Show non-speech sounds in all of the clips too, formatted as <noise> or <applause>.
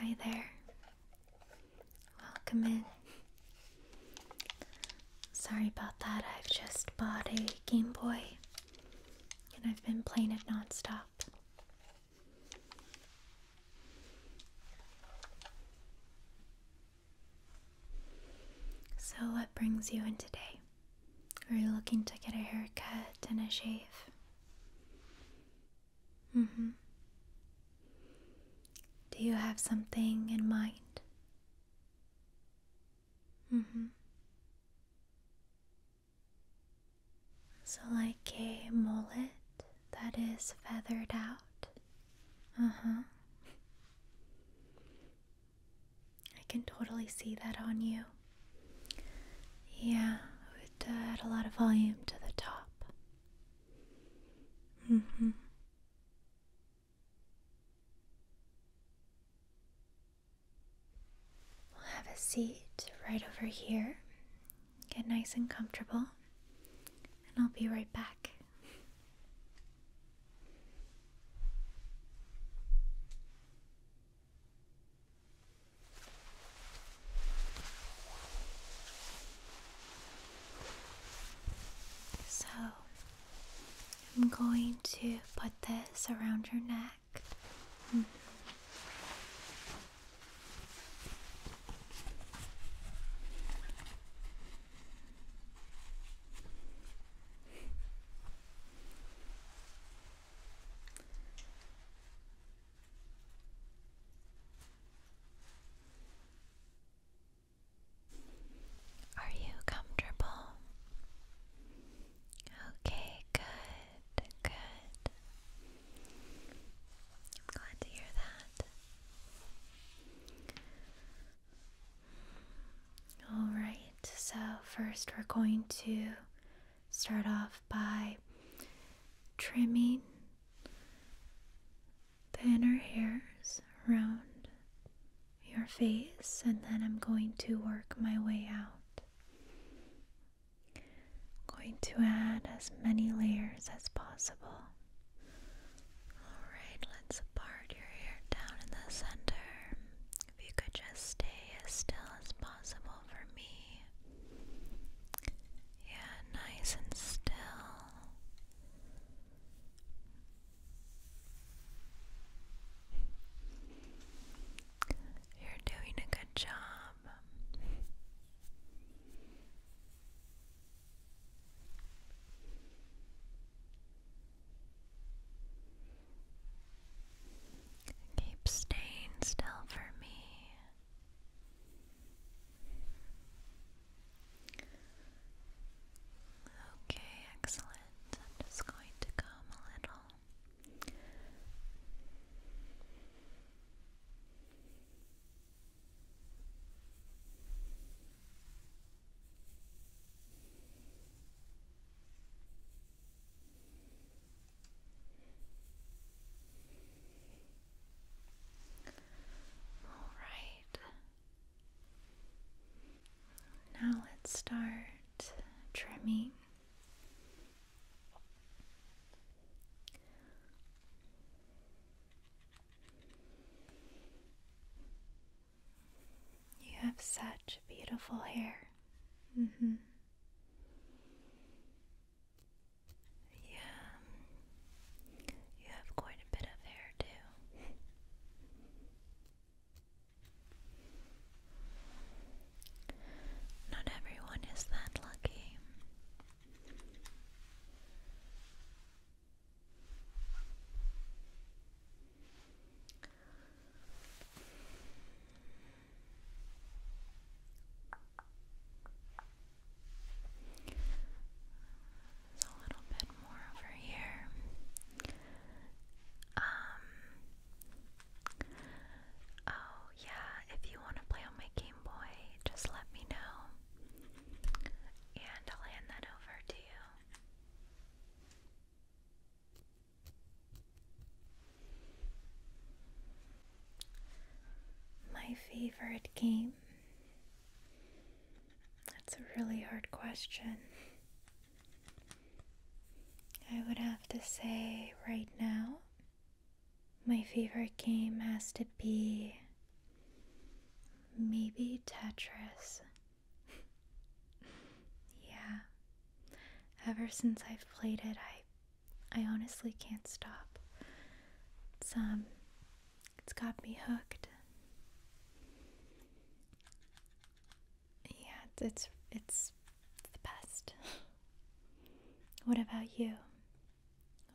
Hi there. Welcome in. Sorry about that, I've just bought a Game Boy and I've been playing it nonstop. So, what brings you in today? Are you looking to get a haircut and a shave? hmm. Do you have something in mind? hmm. So, like a mullet that is feathered out. Uh huh. I can totally see that on you. Yeah, it would uh, add a lot of volume to the top. Mm hmm. We'll have a seat right over here. Get nice and comfortable, and I'll be right back. So, I'm going to put this around your neck back. Are you comfortable? Okay, good, good. I'm glad to hear that. Alright, so first we're going to start off by trimming the inner hairs around your face, and then I'm going to work my way out. I'm going to add as many layers as possible. Alright, let's part your hair down in the center. If you could just stay as still as possible for me. Yeah, nice and still. You're doing a good job. Keep staying still for me. Okay, excellent. I'm just going to come a little all right. Now let's start trimming you have such beautiful hair. Mm-hmm. Yeah. You have quite a bit of hair, too. Not everyone is that lucky. a little bit more over here. Um Oh, yeah, if you want to play on my Game Boy, just let me know. And I'll hand that over to you. My favorite game? That's a really hard question. I would have to say right now, my favorite game has to be maybe Tetris. <laughs> yeah. Ever since I've played it, I I honestly can't stop. It's um it's got me hooked. Yeah, it's it's the best. <laughs> what about you?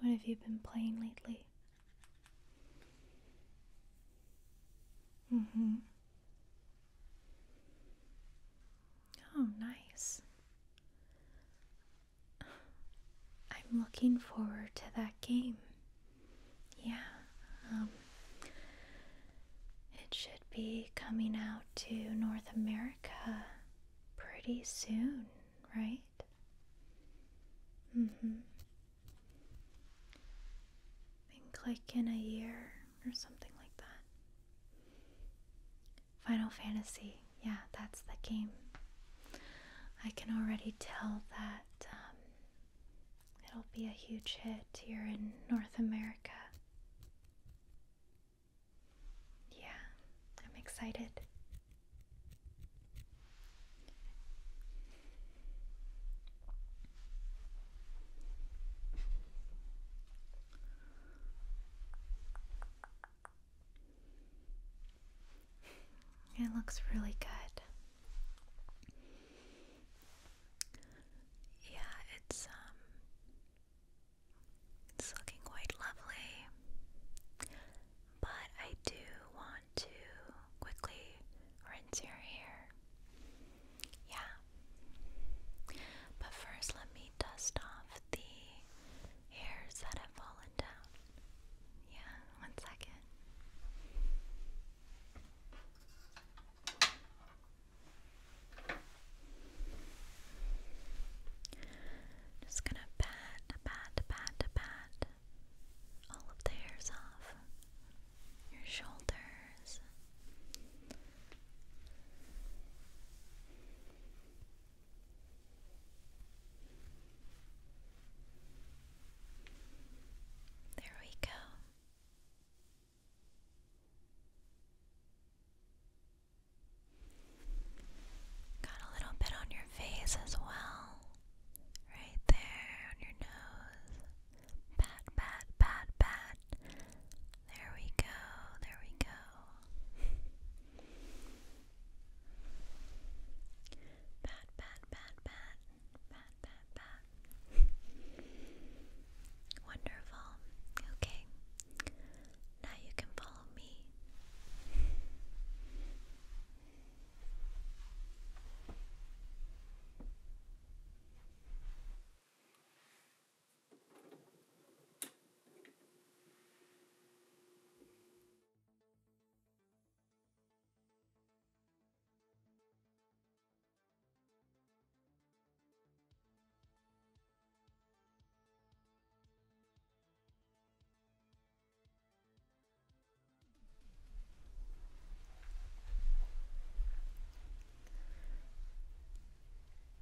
What have you been playing lately? Mm-hmm. Oh, nice. <sighs> I'm looking forward to that game. Yeah, um, it should be coming out to North America pretty soon, right? Mm hmm. I think like in a year or something like that. Final Fantasy, yeah, that's the game. I can already tell that um, it'll be a huge hit here in North America. Yeah, I'm excited. It looks really good. Yeah, it's um it's looking quite lovely. But I do want to quickly rinse your hair. Yeah. But first, let me dust off the hairs that have fallen down. Yeah, one second. Just gonna pat, pat, pat, pat all of the hairs off your shoulders. There we go. Got a little bit on your face as well. Right there on your nose. Pat, pat, pat, pat. There we go, there we go. Pat, pat, pat, pat. Pat, pat, pat. Wonderful. Okay. Now you can follow me.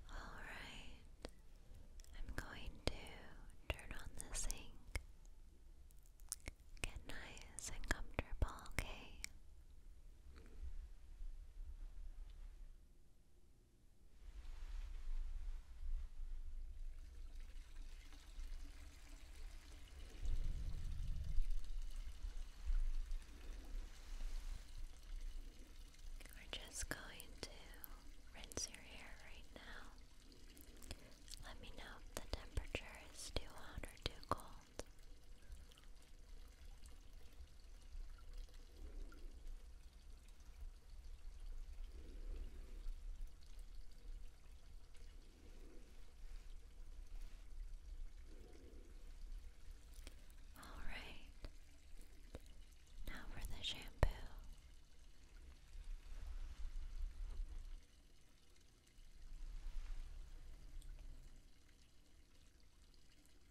All right, I'm going to turn on the sink. Get nice and comfortable, okay? We're just going to rinse your hair right now. Let me know if the temperature is too hot or too cold. All right. Now for the shampoo.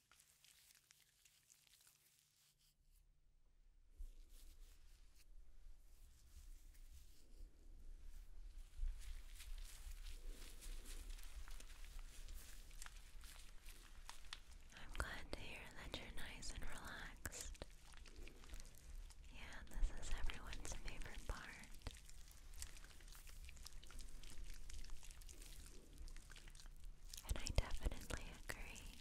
I'm glad to hear that you're nice and relaxed. Yeah, this is everyone's favorite part. And I definitely agree.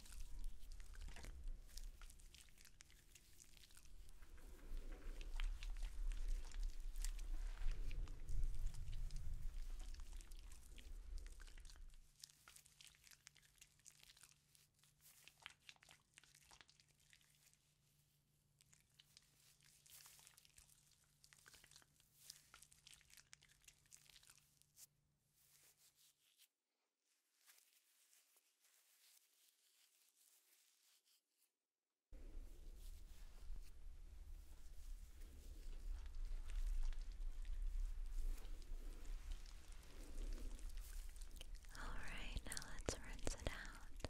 All right, now let's rinse it out.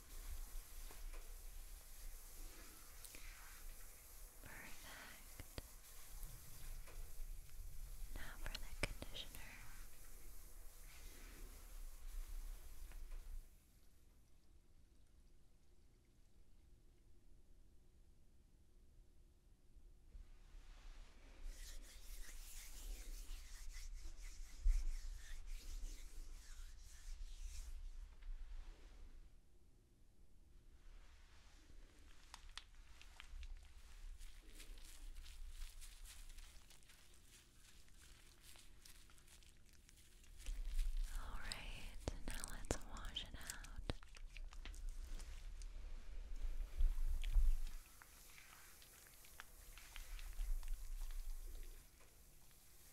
Perfect. Now for the conditioner. All right, now let's wash it out.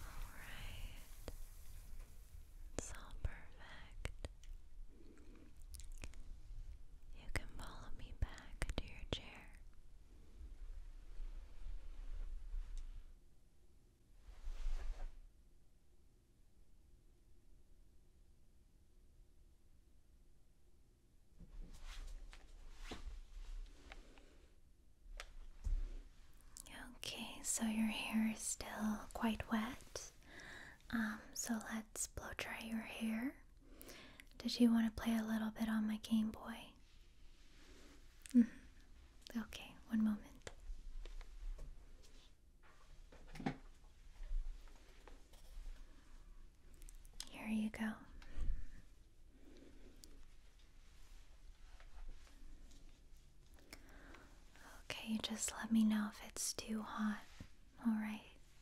Alright. It's all perfect. You can follow me back to your chair. Okay, so your hair is still quite wet. Um, so let's blow dry your hair. Did you want to play a little bit on my Game Boy? Mm-hmm. Okay, one moment. Here you go. Okay, just let me know if it's too hot. All right.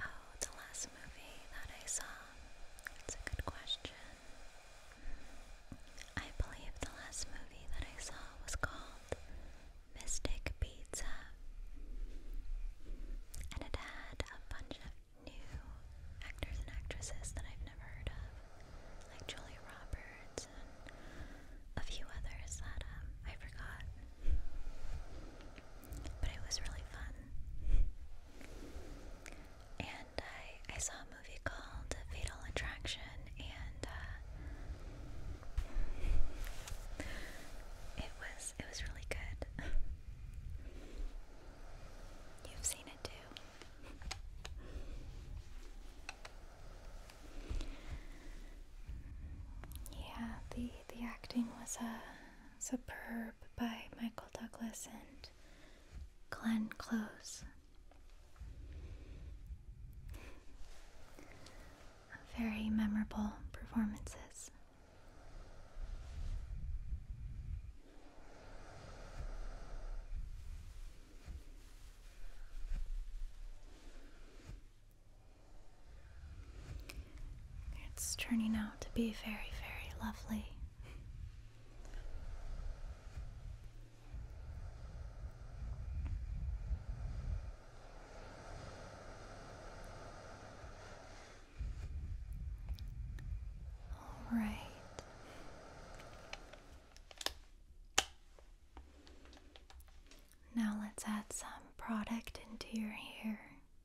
Oh, the last movie that I saw it's a good question. I believe the last movie that I saw was called Mystic Pizza, and it had a bunch of new actors and actresses that I've never heard of, like Julia Roberts and a few others that um, I forgot but it was really fun. And I I saw a movie called Fatal Attraction, and uh, it was it was really good. You've seen it too. Yeah, the the acting was a uh, Superb by Michael Douglas and Glenn Close. Very memorable performances. It's turning out to be very, very lovely. All right. Now let's add some product into your hair.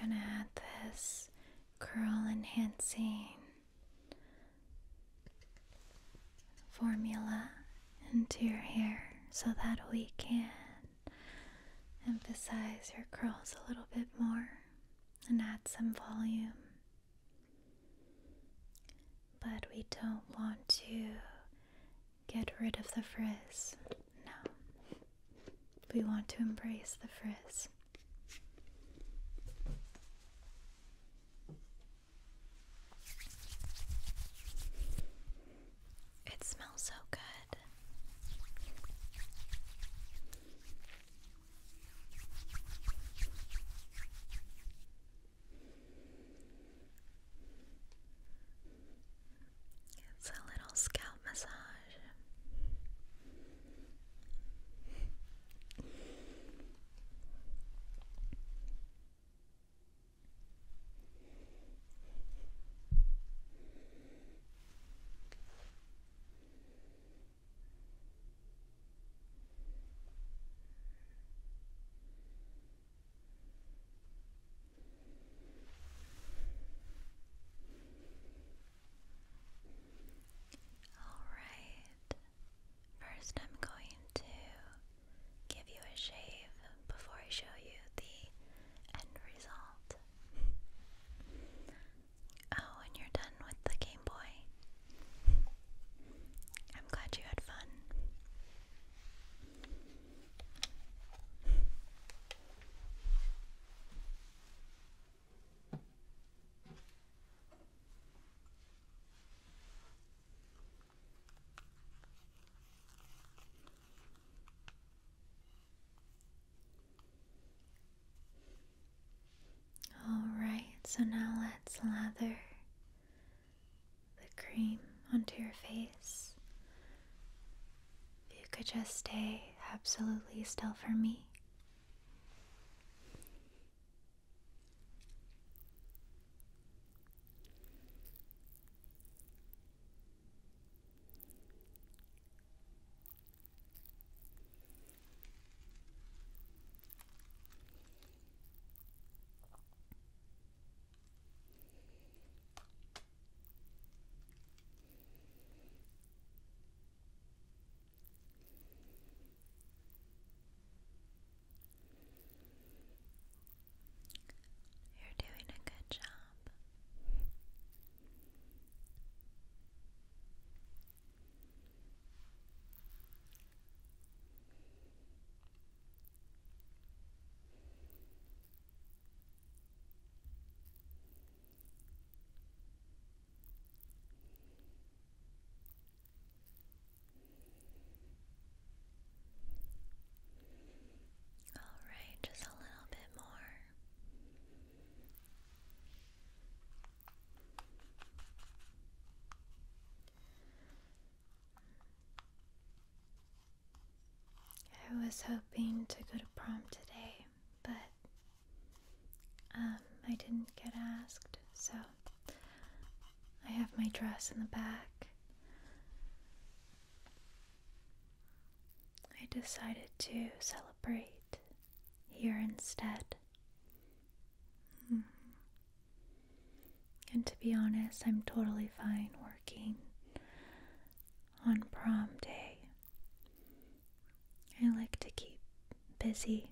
I'm gonna add this curl enhancing formula into your hair so that we can emphasize your curls a little bit more and add some volume. But we don't want to get rid of the frizz. No. We want to embrace the frizz. It smells so good. It's a little scalp massage. Alright, first I'm going to give you a shave before I show you the end result. Oh, and you're done with the Game Boy. I'm glad you had fun. All right, so now let's lather the cream onto your face. If you could just stay absolutely still for me. You're doing a good job. All right, just a little bit more. I was hoping to go to prom today, but um, I didn't get asked, so I have my dress in the back. I decided to celebrate here instead. Mm-hmm. And to be honest, I'm totally fine working on prom day. I like to keep busy.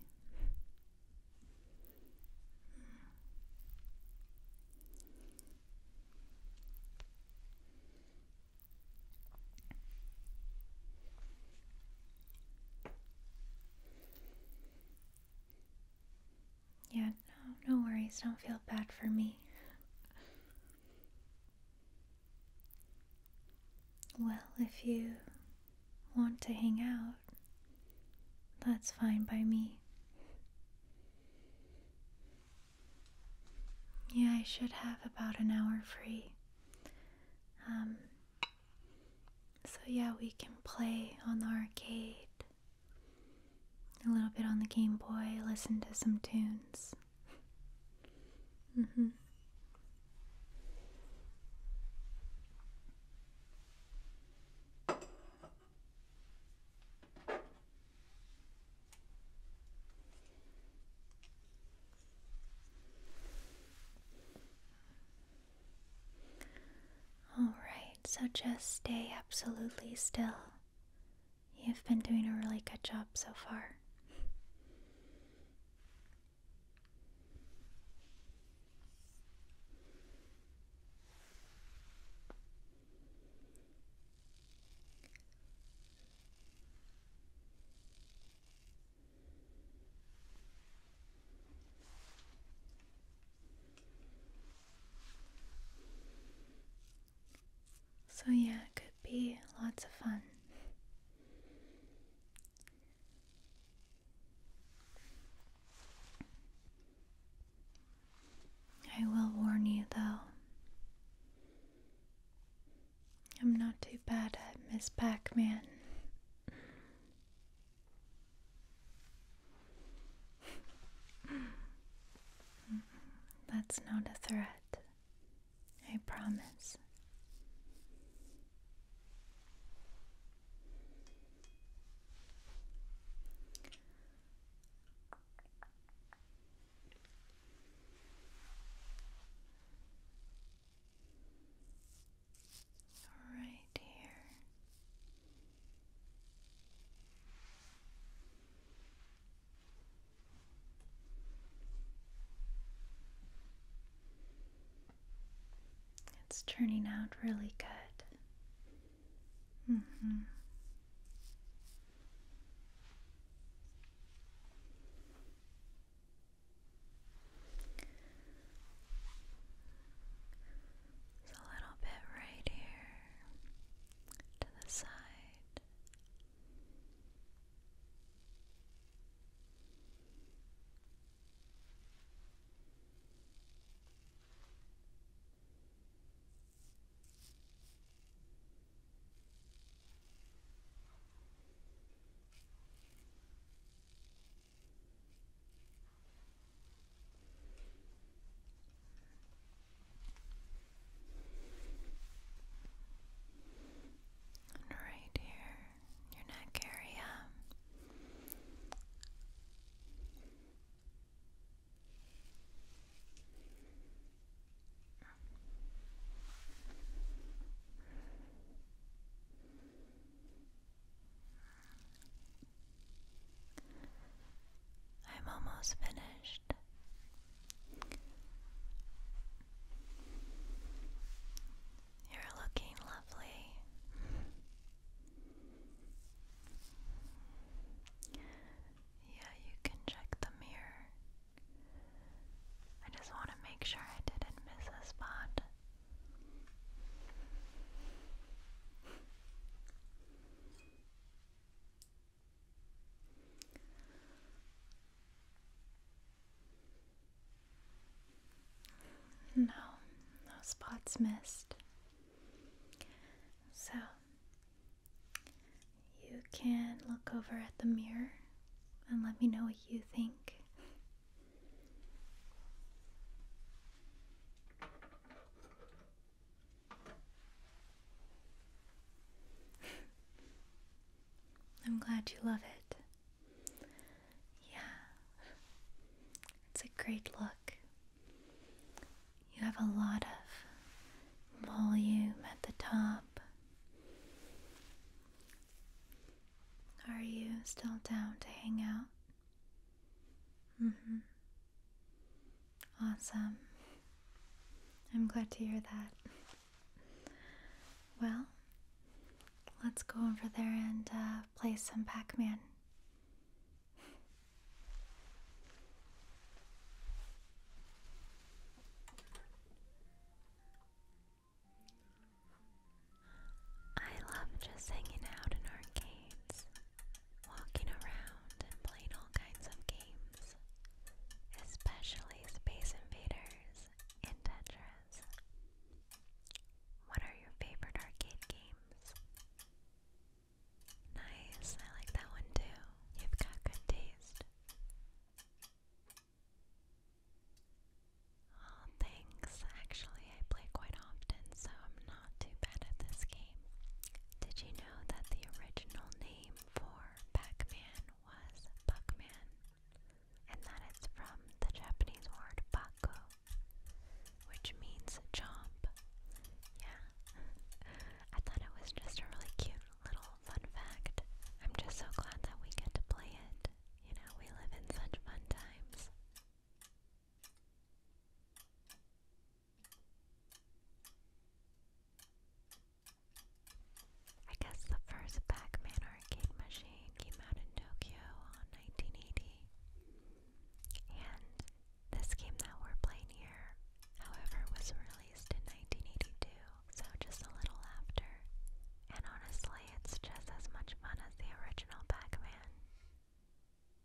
Yeah, no, no worries. Don't feel bad for me. Well, if you want to hang out, that's fine by me. Yeah, I should have about an hour free. Um, so, yeah, we can play on the arcade a little bit on the Game Boy, listen to some tunes. Mm-hmm. Alright, so just stay absolutely still. You've been doing a really good job so far. So, yeah, it could be lots of fun. I will warn you though, I'm not too bad at Miss Pac Man. That's not a threat. I promise. All right. It's turning out really good. hmm a little bit right here to the side. And right here, your neck area. I'm almost finished. You're looking lovely. Yeah, you can check the mirror. I just want to make sure I didn't miss a spot. No, no spots missed. So, you can look over at the mirror and let me know what you think. I'm glad you love it. Yeah, it's a great look. You have a lot of volume at the top. Are you still down to hang out? Mm-hmm. Awesome. I'm glad to hear that. Well, let's go over there and uh, play some Pac Man. I love just hanging out in arcades walking around and playing all kinds of games, especially Space Invaders and Tetris. What are your favorite arcade games? Nice, I like that one too. You've got good taste. Oh, thanks. Actually, I play quite often, so I'm not too bad at this game. Did you know that the original name for Pac-Man was Buckman, and that it's from the Japanese word Bako, which means "jump." Yeah, <laughs> I thought it was just a really cute little fun fact. I'm just so glad that we get to play it. You know, we live in such fun times. I guess the first Pac-Man arcade machine came out in Tokyo on 1980. And this game that we're playing here, however, was released in 1982, so just a little after. And honestly, it's just as much fun as the original Pac-Man.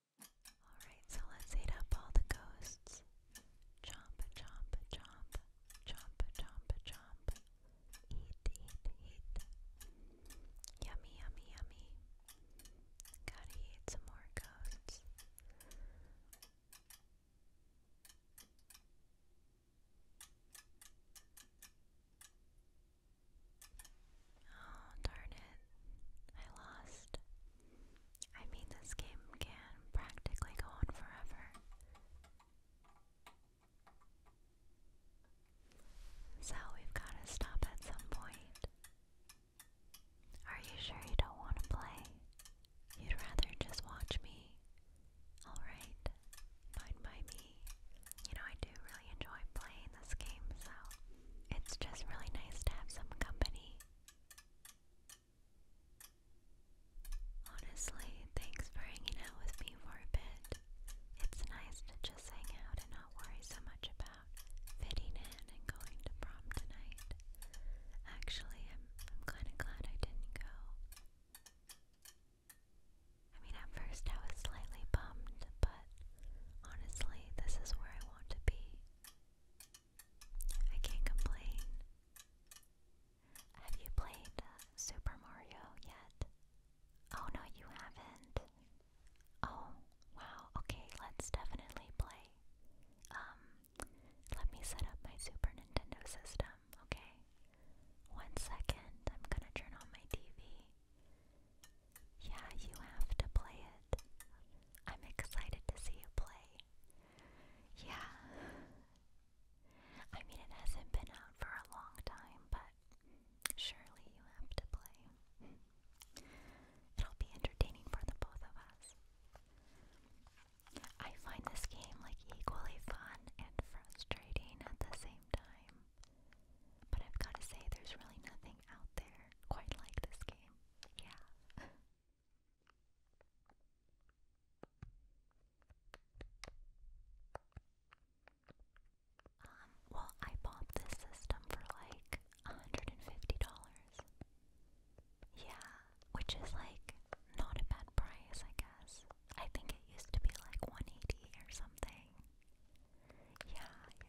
Alright, so let's eat up all the ghosts. Chomp, chomp, chomp, chomp, chomp, chomp. Eat, eat, eat. Yummy, yummy, yummy. Gotta eat some more ghosts. Oh, darn it. I lost. I mean, this game can practically go on forever. So we've got to stop at some point. Are you sure you don't want to play? You'd rather just watch me? Alright, fine by me. You know, I do really enjoy playing this game, so it's just really nice to have some company. Honestly, thanks for hanging out with me for a bit. It's nice to just hang out and not worry so much about fitting in and going to prom tonight. Actually, I'm, I'm kind of glad I didn't go. I mean, at first I was slightly bummed, but honestly, this is where I want to be. I can't complain. Have you played uh, Super Mario yet? Oh no, you haven't. Oh, wow. Okay, let's definitely play. Um, let me set up my Super Nintendo system, okay? One second, I'm gonna turn on my TV. Yeah, you have to play it. I'm excited to see you play. Yeah. I mean, it hasn't been out for a long time, but surely you have to play. It'll be entertaining for the both of us. I find this game like equally fun and frustrating at the same time. But I've got to say, there's really nothing out there quite like this game. Yeah. um, well, I bought this system for like $150. Yeah, which is like not a bad price, I guess. I think it used to be like 180 or something. Yeah,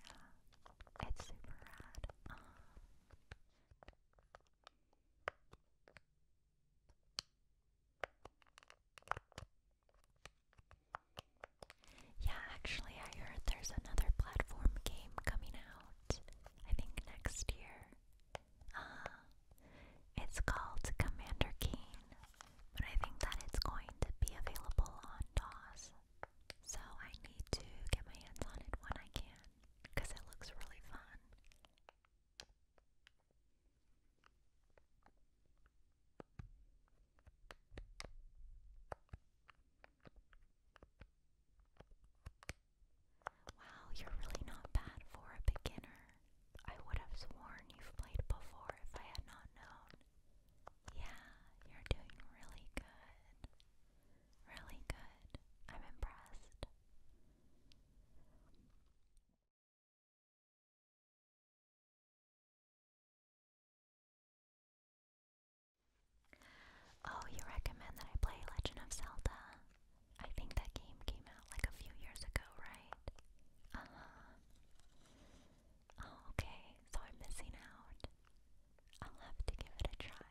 yeah. It's super rad. Um, yeah, actually, I heard there's another platform game coming out, I think next year. Uh, it's called Commander Keen, but I think that it's going to be available on DOS, so I need to get my hands on it when I can one because it looks really fun. Wow, you're really not bad for a beginner. I would have sworn you've played before if I had not known. Yeah, you're doing really good. Really good. I'm impressed. Oh, you recommend that I play Legend of Zelda? I think that game came out like a few years ago, right? Uh huh. Oh, okay, so I'm missing out. I'll have to give it a try.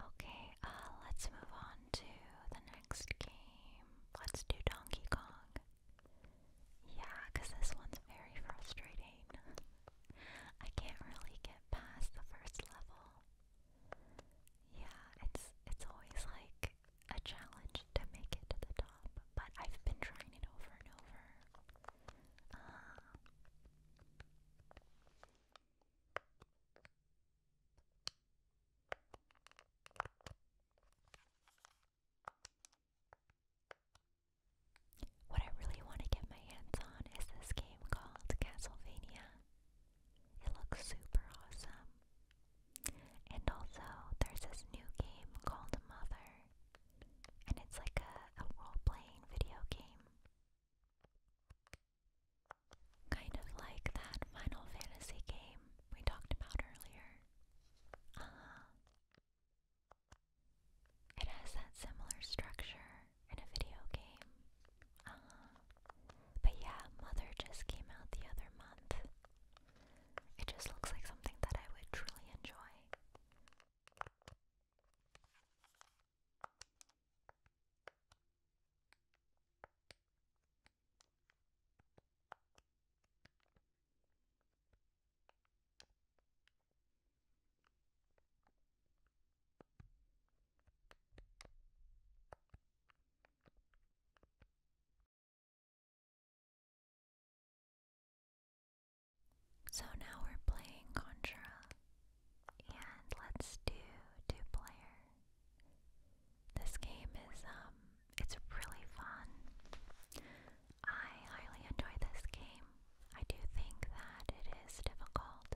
Okay, uh, let's move on to the next game. Let's do Donkey Kong. Yeah, because this one's very frustrating. <laughs> I can't really get past the first level. Yeah, it's it's always like a challenge to make it to the top, but I've been trying it over and over. Uh, what I really want to get my hands on is this game called Castlevania. It looks super awesome. And also, there's this new game called Mother, and it's like a, a role playing video game. Kind of like that Final Fantasy game we talked about earlier. Uh-huh. It has that similar structure in a video game. Uh-huh. But yeah, Mother just came out the other month. It just looks like something that I would truly enjoy. So now we're playing Contra, and let's do two player. This game is um it's really fun. I highly enjoy this game. I do think that it is difficult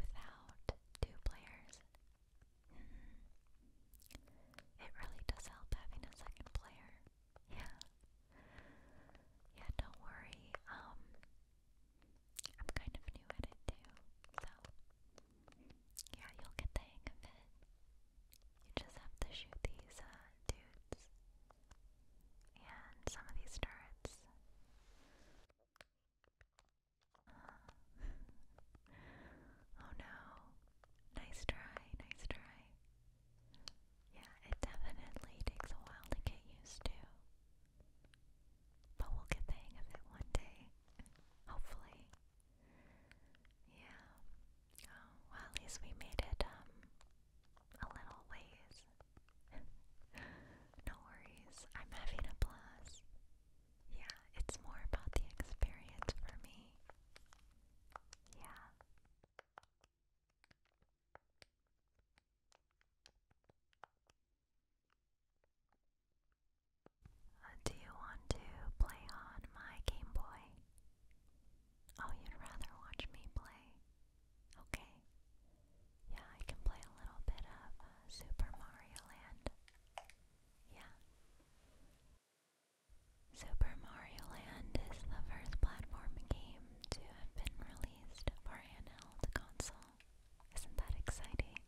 without two players. Mm-hmm. It really does help having a second player. <laughs> Yeah. Yeah, don't worry. Um I'm kind of new at it too, so yeah, you'll get the hang of it. You just have to shoot these uh, dudes and some of these turrets. Uh, oh no. Nice try, nice try. Yeah, it definitely takes a while to get used to. But we'll get the hang of it one day. Hopefully. Yeah. Oh, well, at least we made it um a little ways. <laughs> no worries. I'm having a blast. Yeah, it's more about the experience for me. Yeah. Uh, do you want to play on my Game Boy? Oh, you'd rather watch me play? Okay. Yeah, I can play a little bit of uh, Super Mario Land. Yeah. Super Mario Land is the first platform game to have been released for handheld console. Isn't that exciting?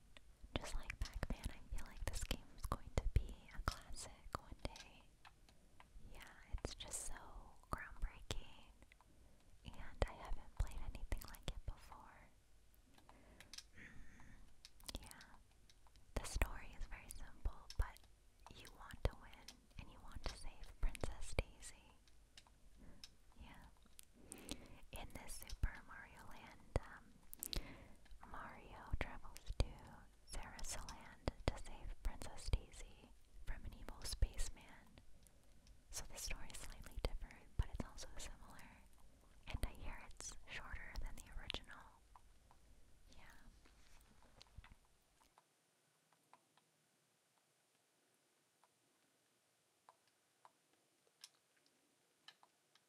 Just like Pac-Man, I feel like this game is going to be a classic one day. Yeah, it's just so groundbreaking, and I haven't played anything like it before. Mm, yeah, the story is very simple, but you want to win and you want to save Princess Daisy. Yeah. In this Super Mario Land um, Mario travels to Sarasaland to save Princess Daisy from an evil spaceman. So the story is slightly different, but it's also similar. And I hear it's shorter than the original. Yeah.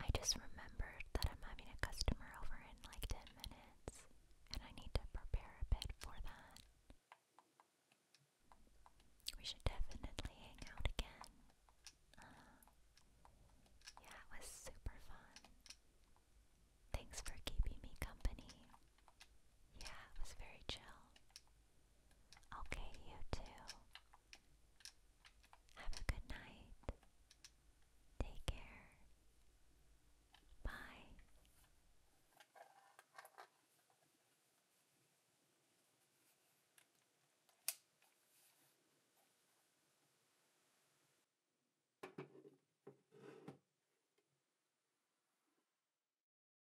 I just remembered that I'm having a customer over in like 10 minutes, and I need to prepare a bit for that. We should definitely hang out again. Uh, yeah, it was super fun. Thanks for keeping me company. Yeah, it was very chill. Okay, you too. Have a good night. Take care. Bye.